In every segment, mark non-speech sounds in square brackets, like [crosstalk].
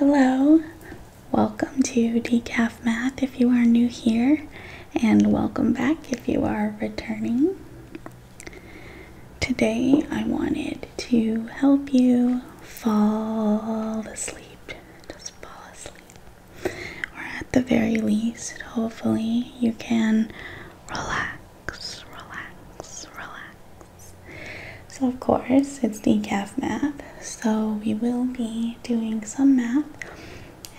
Hello, welcome to Decaf Math if you are new here, and welcome back if you are returning. Today I wanted to help you fall asleep, just fall asleep, or at the very least, hopefully, you can relax, relax, relax. So of course, it's decaf math. So we will be doing some math.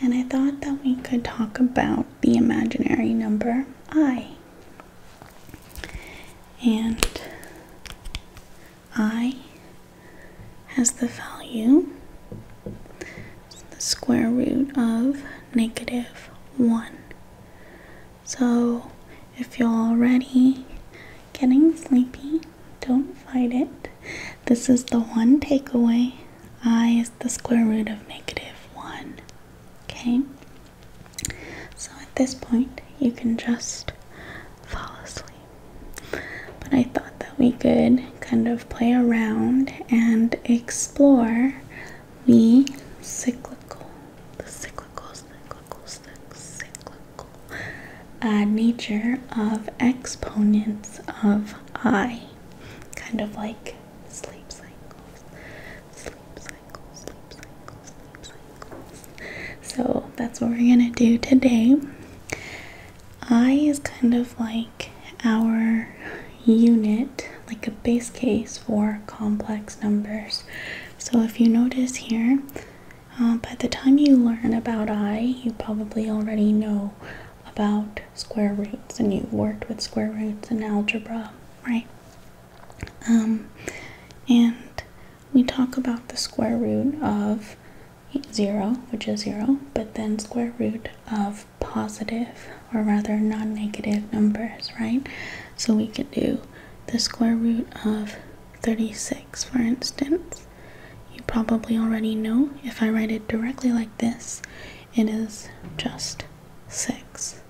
And I thought that we could talk about the imaginary number i. And i has the value the square root of negative 1. So if you're already getting sleepy, don't fight it. This is the one takeaway. I is the square root of negative 1. Okay? So at this point, you can just fall asleep. But I thought that we could kind of play around and explore the cyclical, the cyclical, cyclical, cyclical, uh, nature of exponents of i, kind of like sleep cycles, sleep cycles, sleep cycles, sleep cycles. So that's what we're gonna do today. I is kind of like our unit, like a base case for complex numbers. So if you notice here, uh, by the time you learn about I, you probably already know about square roots and you've worked with square roots in algebra, right? Um, and we talk about the square root of 0, which is 0, but then square root of positive or rather non-negative numbers, right? So we could do the square root of 36 for instance, you probably already know if I write it directly like this, it is just 6.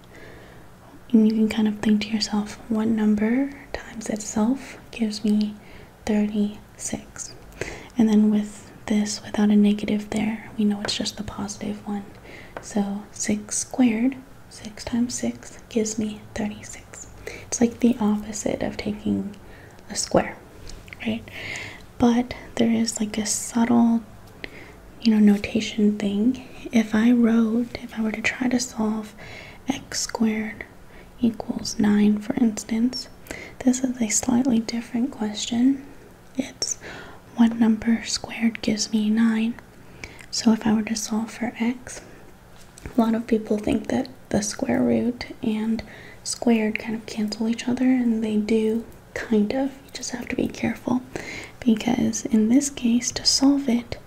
And you can kind of think to yourself, what number times itself gives me 36? And then with this, without a negative there, we know it's just the positive one. So 6 squared, 6 times 6 gives me 36. It's like the opposite of taking a square, right? But there is like a subtle, you know, notation thing. If I wrote, if I were to try to solve x squared equals 9, for instance, this is a slightly different question. It's what number squared gives me 9. So if I were to solve for x, a lot of people think that the square root and squared kind of cancel each other, and they do kind of. You just have to be careful because in this case, to solve it,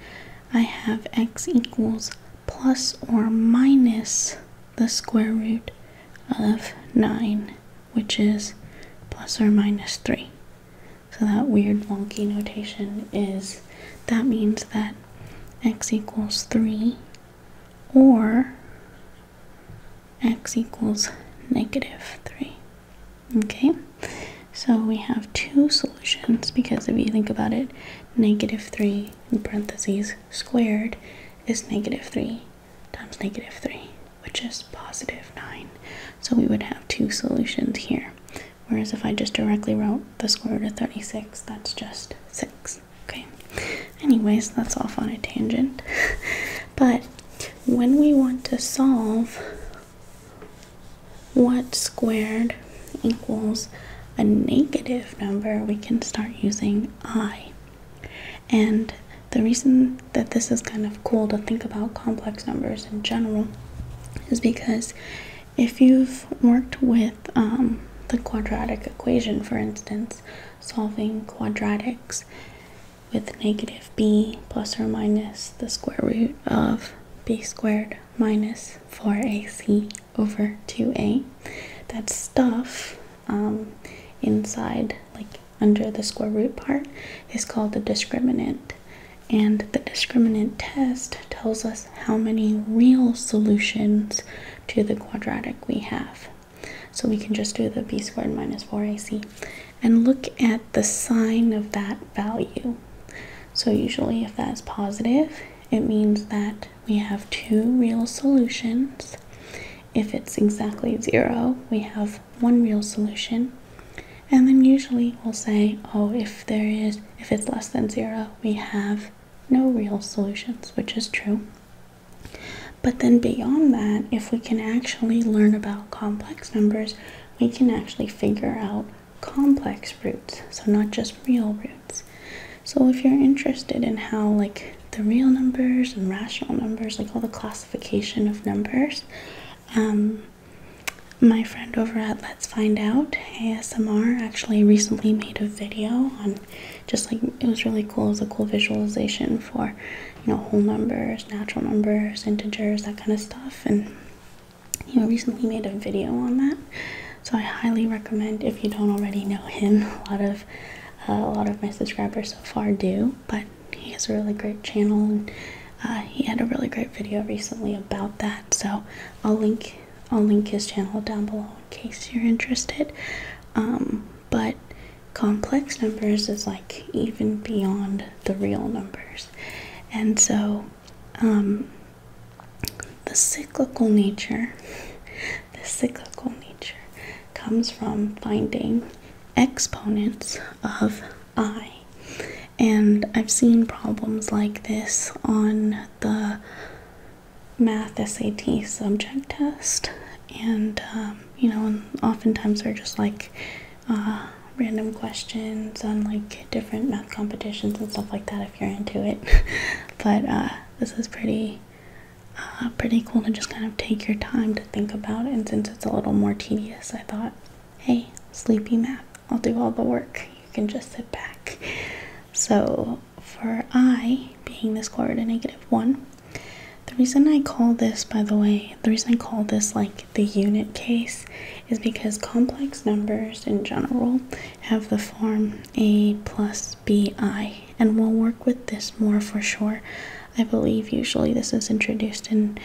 I have x equals plus or minus the square root of 9, which is plus or minus 3. So that weird wonky notation is that means that x equals 3 or x equals negative 3. Okay, so we have two solutions because if you think about it, negative 3 in parentheses squared is negative 3 times negative 3, which is positive 9. So we would have two solutions here. Whereas if I just directly wrote the square root of 36, that's just 6. Okay. Anyways, that's off on a tangent. [laughs] but when we want to solve what squared equals a negative number, we can start using i. And the reason that this is kind of cool to think about complex numbers in general is because if you've worked with um, the quadratic equation, for instance, solving quadratics with negative b plus or minus the square root of b squared minus 4ac over 2a, that stuff um, inside, like under the square root part, is called the discriminant. And the discriminant test tells us how many real solutions to the quadratic we have. So we can just do the b squared minus 4ac and look at the sign of that value. So usually if that's positive, it means that we have two real solutions. If it's exactly zero, we have one real solution. And then usually we'll say, oh, if there is, if it's less than zero, we have no real solutions, which is true. But then beyond that, if we can actually learn about complex numbers, we can actually figure out complex roots, so not just real roots. So if you're interested in how like the real numbers and rational numbers, like all the classification of numbers, um, my friend over at Let's Find Out ASMR actually recently made a video on just like it was really cool. It was a cool visualization for you know whole numbers, natural numbers, integers, that kind of stuff. And he recently made a video on that, so I highly recommend if you don't already know him. [laughs] A lot of uh, a lot of my subscribers so far do, but he has a really great channel and uh, he had a really great video recently about that. So I'll link I'll link his channel down below case you're interested. Um, but complex numbers is like even beyond the real numbers. And so um, the cyclical nature, [laughs] the cyclical nature comes from finding exponents of i. And I've seen problems like this on the math SAT subject test, and um, you know, and oftentimes they're just like uh, random questions on like different math competitions and stuff like that if you're into it. [laughs] but uh, this is pretty. Uh, pretty cool to just kind of take your time to think about it. And since it's a little more tedious, I thought, hey, sleepy math, I'll do all the work. You can just sit back. So for i being the square root of negative 1, the reason I call this, by the way, the reason I call this like the unit case is because complex numbers in general have the form a plus bi, and we'll work with this more for sure. I believe usually this is introduced in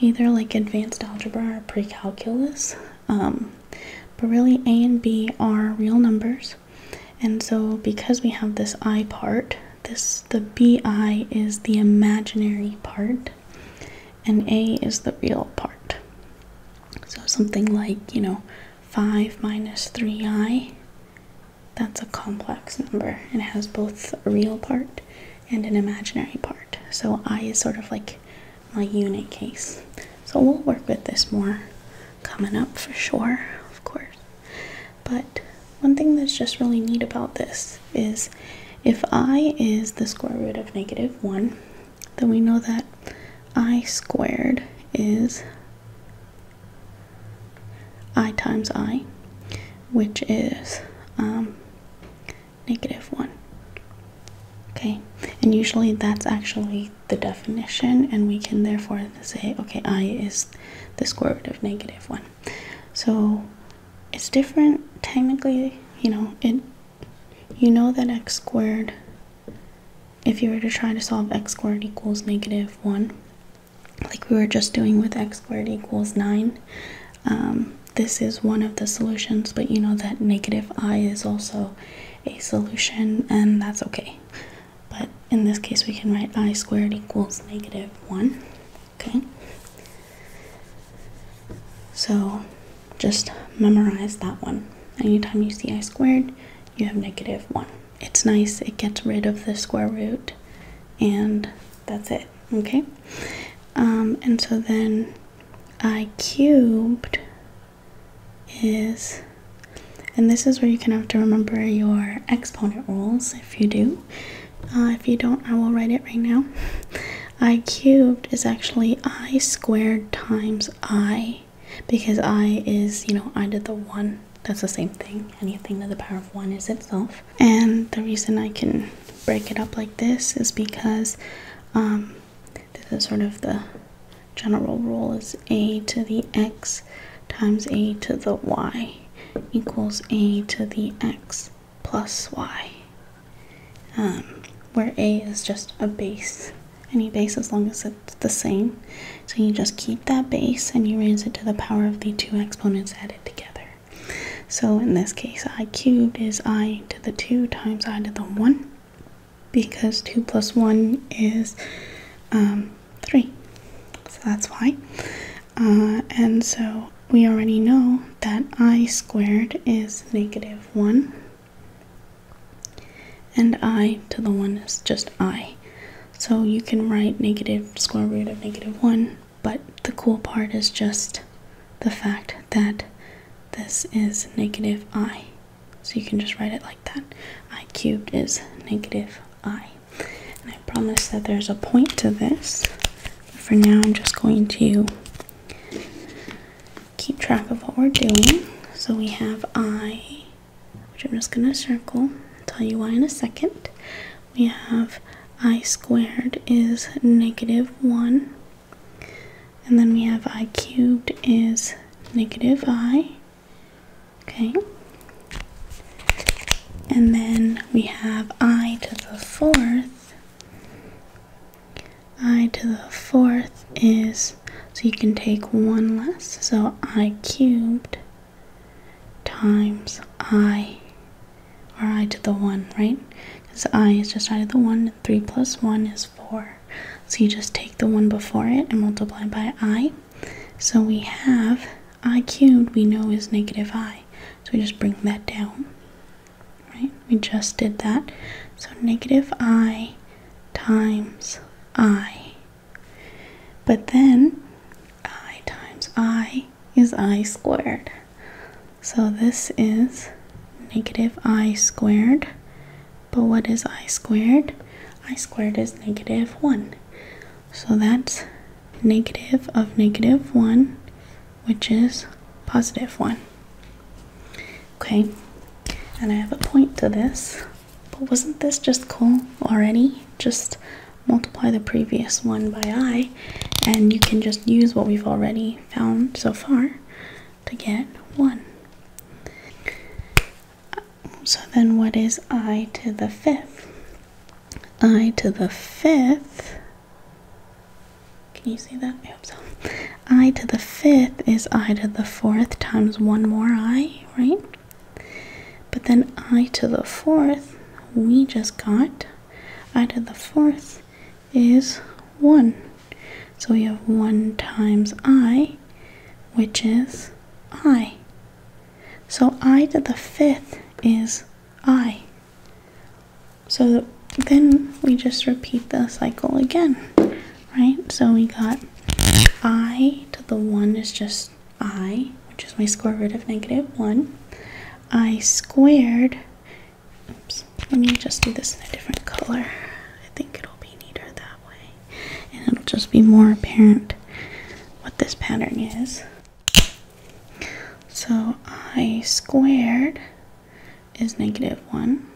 either like advanced algebra or pre calculus. Um, but really, a and b are real numbers. And so because we have this I part, this the BI is the imaginary part and A is the real part. So something like, you know, 5 minus 3i, that's a complex number. It has both a real part and an imaginary part. So I is sort of like my unit case. So we'll work with this more coming up for sure, of course. But one thing that's just really neat about this is if I is the square root of negative 1, then we know that I squared is I times I, which is um, negative 1. Okay, and usually that's actually the definition and we can therefore say okay i is the square root of negative 1 so it's different technically you know it you know that x squared if you were to try to solve x squared equals negative 1 like we were just doing with x squared equals 9 um, this is one of the solutions but you know that negative i is also a solution and that's okay but in this case, we can write i squared equals negative 1. Okay? So just memorize that one. Anytime you see i squared, you have negative 1. It's nice, it gets rid of the square root, and that's it. Okay? Um, and so then i cubed is, and this is where you can have to remember your exponent rules if you do. Uh, if you don't, I will write it right now. I cubed is actually I squared times I because I is, you know, I did the 1. That's the same thing. Anything to the power of 1 is itself. And the reason I can break it up like this is because um, this is sort of the general rule is a to the x times a to the y equals a to the x plus y, um, where a is just a base, any base as long as it's the same. So you just keep that base and you raise it to the power of the two exponents added together. So in this case, i cubed is i to the 2 times i to the 1 because 2 plus 1 is um, 3. So that's why. Uh, and so we already know that i squared is negative 1. And i to the 1 is just i. So you can write negative square root of negative 1, but the cool part is just the fact that this is negative i. So you can just write it like that. I cubed is negative I. And I promise that there's a point to this. for now, I'm just going to keep track of what we're doing. So we have I, which I'm just going to circle. tell you why in a second. We have I squared is negative 1. And then we have I cubed is negative I. Okay. And then we have i to the fourth. i to the fourth is, so you can take one less, so i cubed times i, or i to the one, right? Because i is just i to the one, 3 plus 1 is 4. So you just take the one before it and multiply by i, so we have i cubed we know is negative i. So we just bring that down. Right? We just did that. So negative i times i. But then i times i is i squared. So this is negative i squared but what is i squared? i squared is negative 1. So that's negative of negative 1, which is positive 1. Okay, and I have a point to this. But wasn't this just cool already? Just multiply the previous one by i, and you can just use what we've already found so far to get 1. So then what is i to the fifth? i to the fifth. Can you see that? I hope so. i to the fifth is i to the fourth times one more i, right? But then i to the fourth, we just got i to the fourth is 1. So we have 1 times i, which is i. So I to the fifth is I. So then we just repeat the cycle again, right? So we got I to the one is just I, which is my square root of negative one. I squared, let me just do this in a different color. I think it'll be neater that way and it'll just be more apparent what this pattern is. So I squared is negative 1,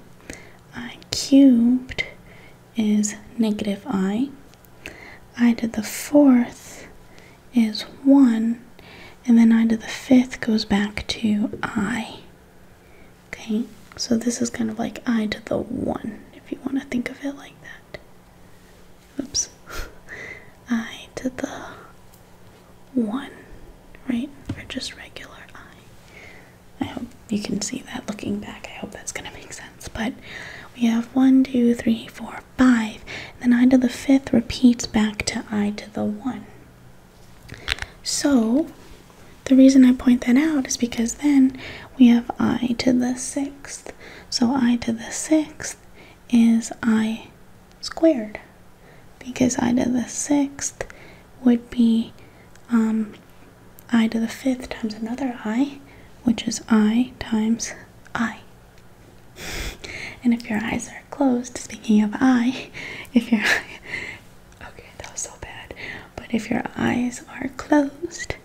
I cubed is negative i, i to the fourth is 1, and then i to the fifth goes back to i. Okay, so this is kind of like i to the 1 if you want to think of it like that. Oops. [laughs] I to the 1, right? Or just regular I. I hope you can see that looking back. I hope that's going to make sense. But we have 1, 2, 3, 4, 5. Then I to the 5th repeats back to I to the 1. So the reason I point that out is because then we have I to the 6th. So i to the sixth is i squared because i to the sixth would be um, i to the fifth times another i, which is i times i. [laughs] And if your eyes are closed, speaking of I, [laughs] if your [laughs] okay, that was so bad, but if your eyes are closed,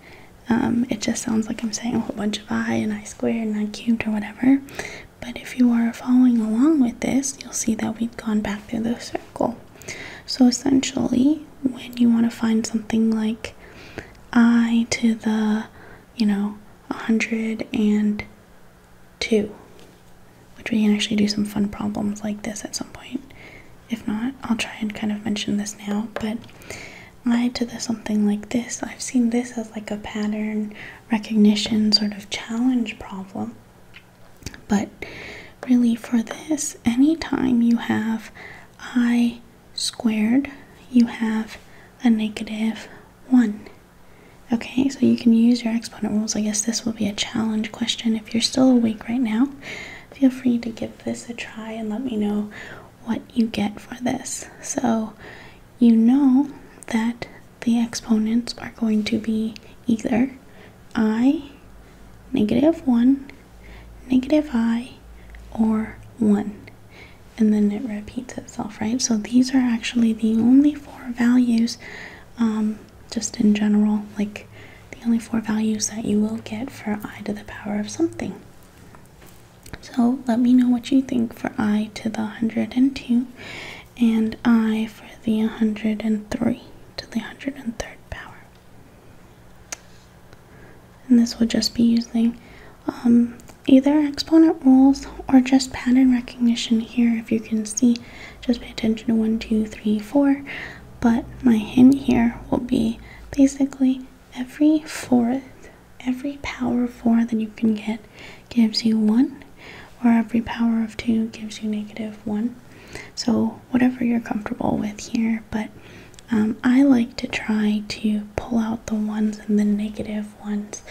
um, it just sounds like I'm saying a whole bunch of I and I squared and I cubed or whatever. But if you are following along with this, you'll see that we've gone back through the circle. So essentially, when you want to find something like I to the, you know, 102, which we can actually do some fun problems like this at some point. If not, I'll try and kind of mention this now, but I to the something like this, I've seen this as like a pattern recognition sort of challenge problem. But really for this, anytime you have i squared, you have a negative 1. Okay, so you can use your exponent rules. I guess this will be a challenge question. If you're still awake right now, feel free to give this a try and let me know what you get for this. So you know that the exponents are going to be either i, negative 1, negative i, or 1. And then it repeats itself, right? So these are actually the only four values, um, just in general, like the only four values that you will get for i to the power of something. So let me know what you think for i to the 102 and i for the 103 to the 103rd power. And this will just be using um, either exponent rules or just pattern recognition here. If you can see, just pay attention to 1, 2, 3, 4. But my hint here will be basically every fourth, every power of four that you can get gives you one, or every power of two gives you negative one. So, whatever you're comfortable with here, but um, I like to try to pull out the ones and the negative ones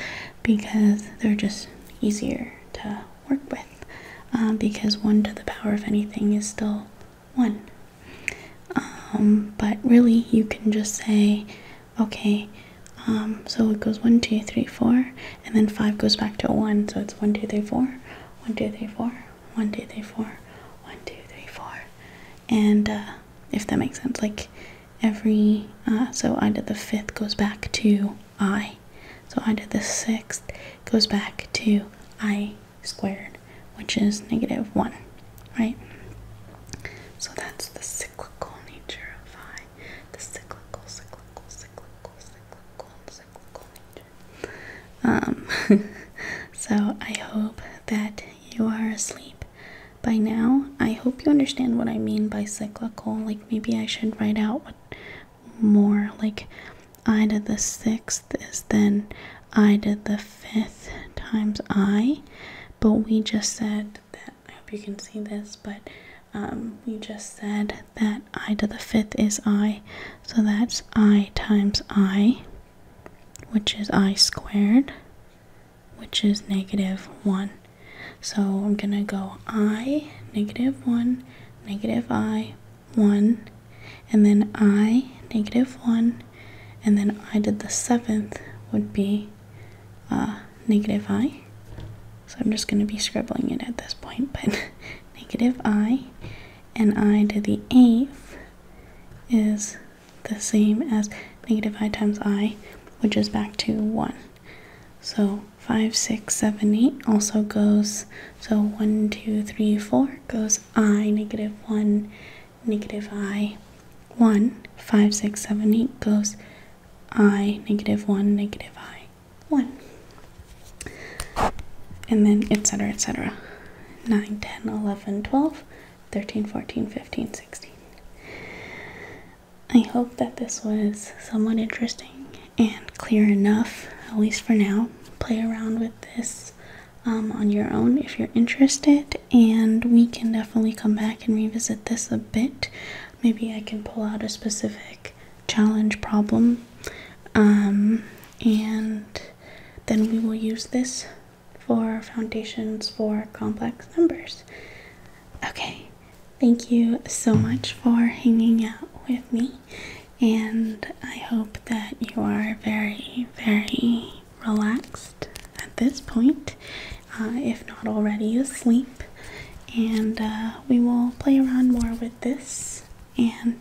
because they're just easier to work with. Um, because 1 to the power of anything is still one. Um, but really, you can just say, okay, um, so it goes one, two, three, four, and then five goes back to one, so it's one, two, three, four, one, two, three, four, one, two, three, four, one, two, three, four, and uh, if that makes sense, like every uh, so I did the fifth goes back to I, so I did the sixth goes back to I squared, which is negative 1, right? So that's the cyclical nature of phi, the cyclical, cyclical, cyclical, cyclical, cyclical nature. Um, [laughs] so I hope that you are asleep by now. I hope you understand what I mean by cyclical. Like maybe I should write out what more, like I to the sixth is then I did the fifth times I, but we just said that I hope you can see this, but um, we just said that I to the fifth is I, so that's I times I, which is I squared, which is negative 1. So I'm going to go I, negative 1, negative I, 1, and then I, negative 1, and then I did the seventh would be uh, negative I. So I'm just going to be scribbling it at this point, but [laughs] negative I and I to the eighth is the same as negative I times I, which is back to 1. So 5, 6, 7, 8 also goes, so 1, 2, 3, 4 goes I, negative 1, negative i 1, 5, 6, 7, 8 goes i, negative 1, negative i, 1. And then etc. etc. 9, 10, 11, 12, 13, 14, 15, 16. I hope that this was somewhat interesting and clear enough, at least for now. Play around with this um, on your own if you're interested, and we can definitely come back and revisit this a bit. Maybe I can pull out a specific challenge problem, um, and then we will use this for foundations for complex numbers. Okay, thank you so much for hanging out with me, and I hope that you are very, very relaxed at this point, uh, if not already asleep, and uh, we will play around more with this. And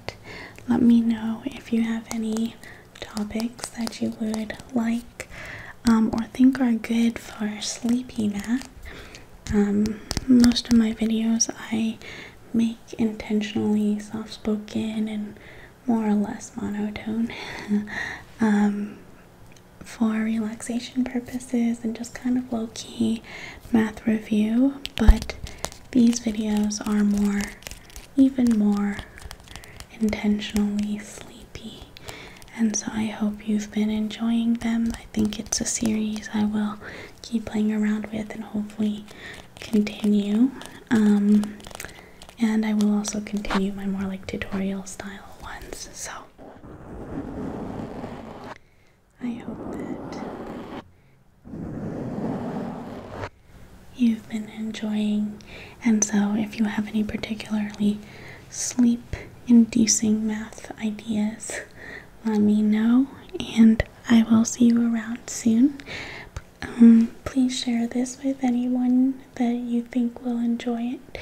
let me know if you have any topics that you would like um, or think are good for sleepy math. Um, most of my videos I make intentionally soft spoken and more or less monotone [laughs] um, for relaxation purposes and just kind of low key math review, but these videos are more, even more intentionally sleepy. And so I hope you've been enjoying them. I think it's a series I will keep playing around with and hopefully continue. Um, and I will also continue my more like tutorial style ones. So I hope that you've been enjoying, and so if you have any particularly sleep inducing math ideas, let me know, and I will see you around soon. Um, please share this with anyone that you think will enjoy it,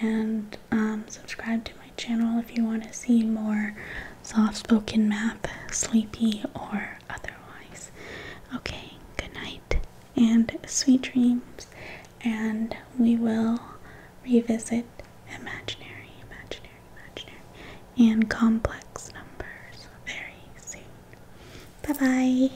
and um, subscribe to my channel if you want to see more soft spoken math, sleepy, or otherwise. Okay, good night and sweet dreams, and we will revisit imaginary, imaginary, imaginary, and complex numbers very soon. Bye bye.